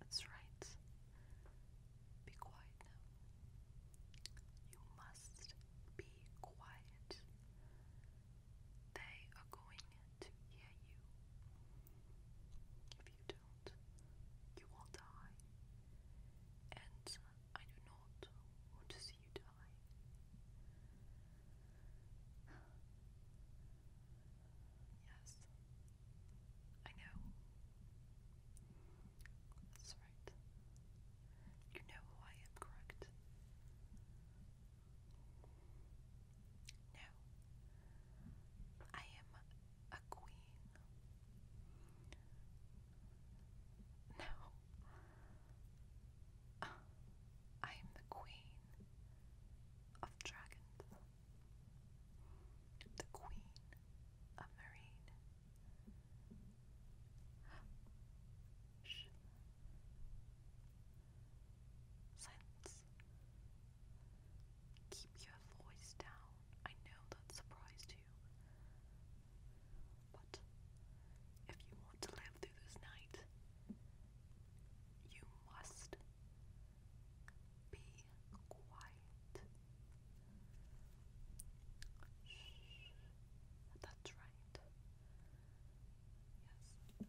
That's right. Be quiet You must be quiet. They are going to hear you. If you don't, you will die. And I do not want to see you die. Yes, I know. That's right. You know who I am, correct? No. I am a queen. No. I am the queen of dragons the Queen of Marine. Silence. Keep your voice down. I know that surprised you. But if you want to live through this night, you must be quiet. Shh. That's right. Yes.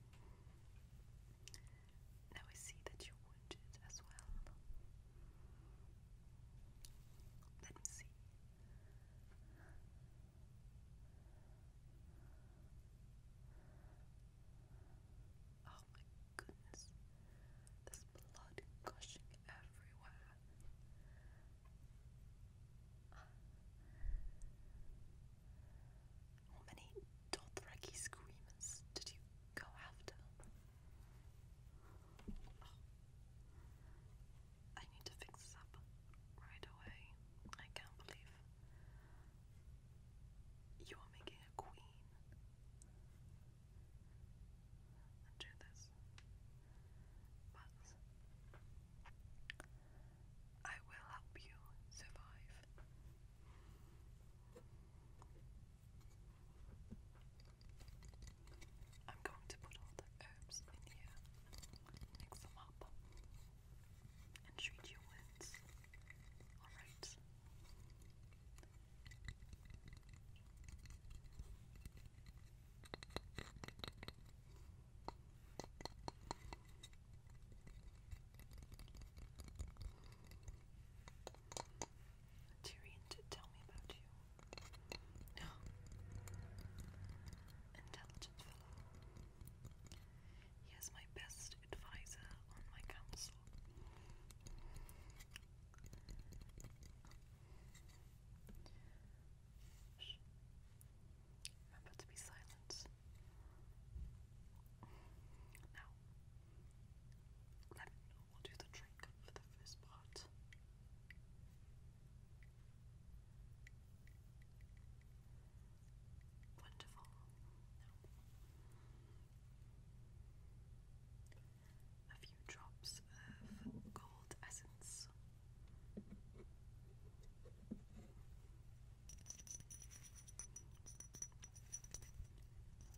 Now I see that you're as well. Let me see. Oh my goodness. There's blood gushing everywhere. How many Dothraki screamers did you go after? Oh. I need to fix this up right away. I can't believe you are making a queen do this. But I will help you survive. I'm going to put all the herbs in here, mix them up, and treat your wounds. Alright? Tyrion did tell me about you. No. Intelligent fellow. He is my best first advisor on my council. Remember to be silent. Now, We'll do the trick for the first part. Wonderful. A few drops of gold essence.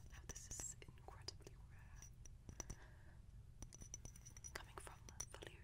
Now, this is incredibly rare. Coming from Valyria.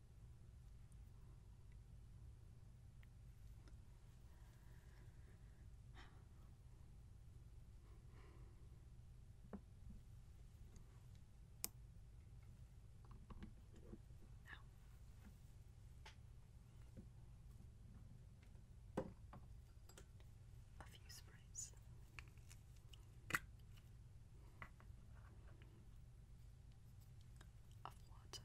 A few sprays of water.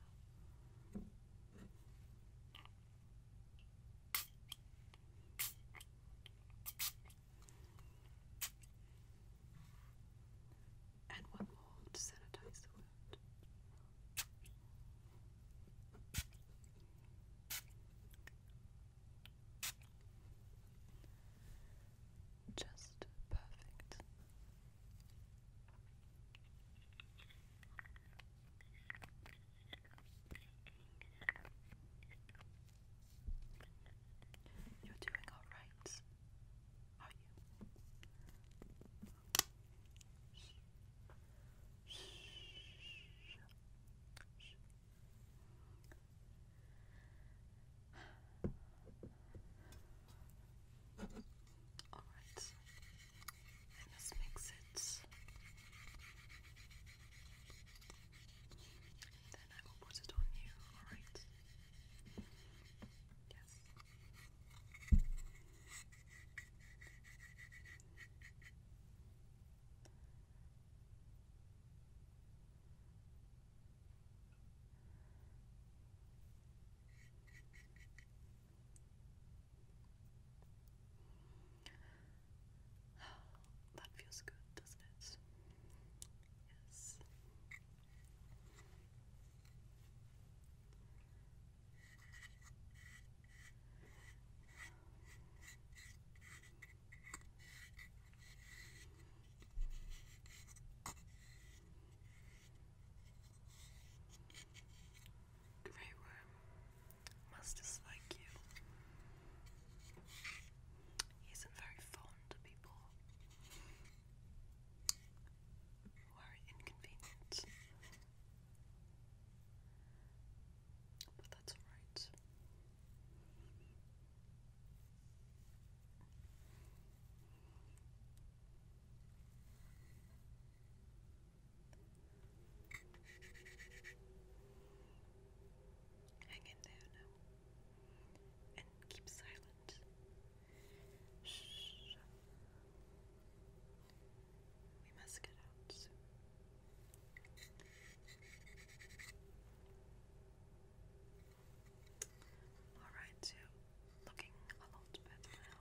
And one more sanitize the wound just perfect. You're doing all right, are you? Alright, let's mix it. then I will put it on you, alright? Yes. That feels good, doesn't it? Yes. Grey Worm must dislike you. He isn't very fond of people who are inconvenient. But that's alright. Hang in there now and keep silent. Shh. We must get out Alright, so looking a lot better now.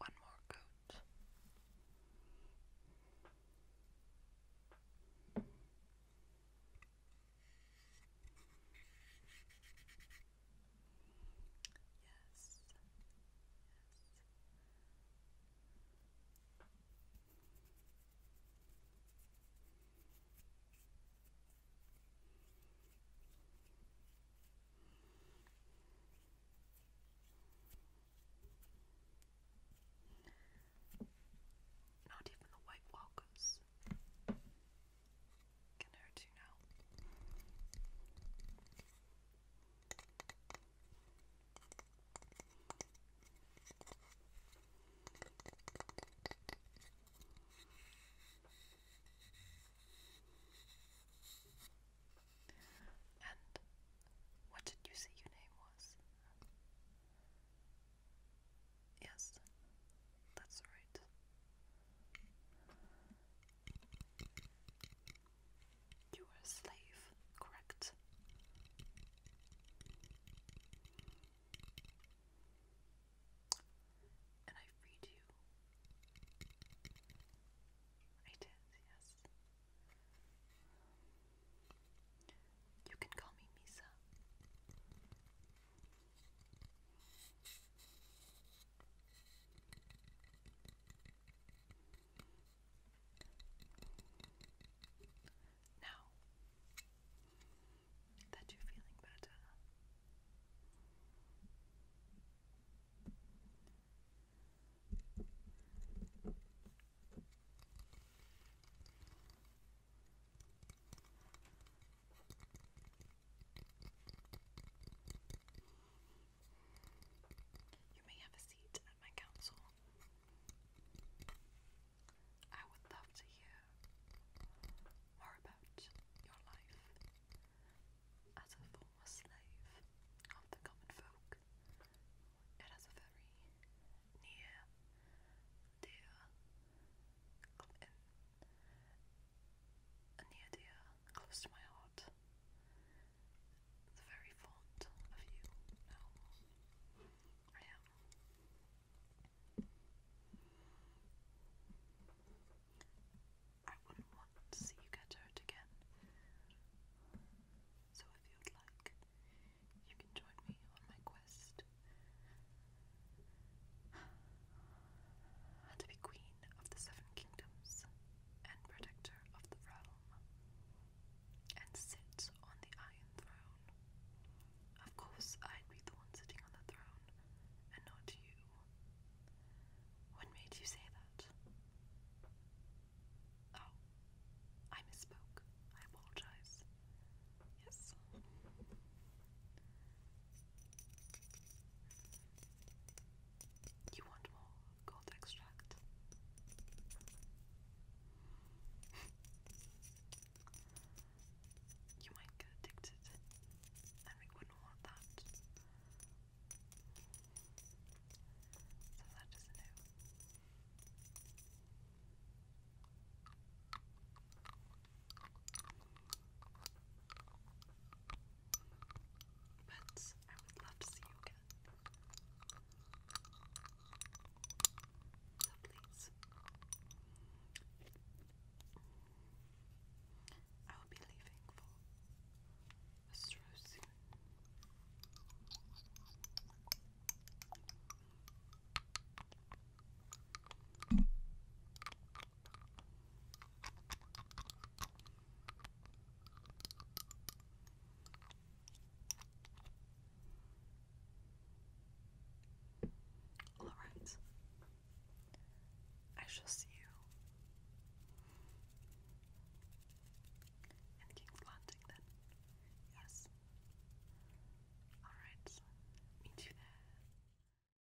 One more coat. Yes. Not even the White Walkers can hurt you now. And what did you say your name was? Yes, that's right. You were a slave, correct? And I freed you. I did, yes. You can call me Misa. Now that you're feeling better, you may have a seat at my council. I would love to hear more about your life as a former slave of the common folk. It has a very near, dear, a near dear, close to my heart. The very fond of you now. I am. I wouldn't want to see you get hurt again. So if you'd like, you can join me on my quest and to be queen of the seven kingdoms and protector of the realm, and sit on the Iron Throne. Of course, I'd be the one sitting on the throne, and not you. What made you say that? Oh, I misspoke. I apologize. Yes. You want more gold extract? you might get addicted, and we wouldn't want that. So that is a no. But I would love to see you again. So please, I will be leaving for Astro soon. All right. I shall see you in King's Landing then. Yes. All right. Meet you there.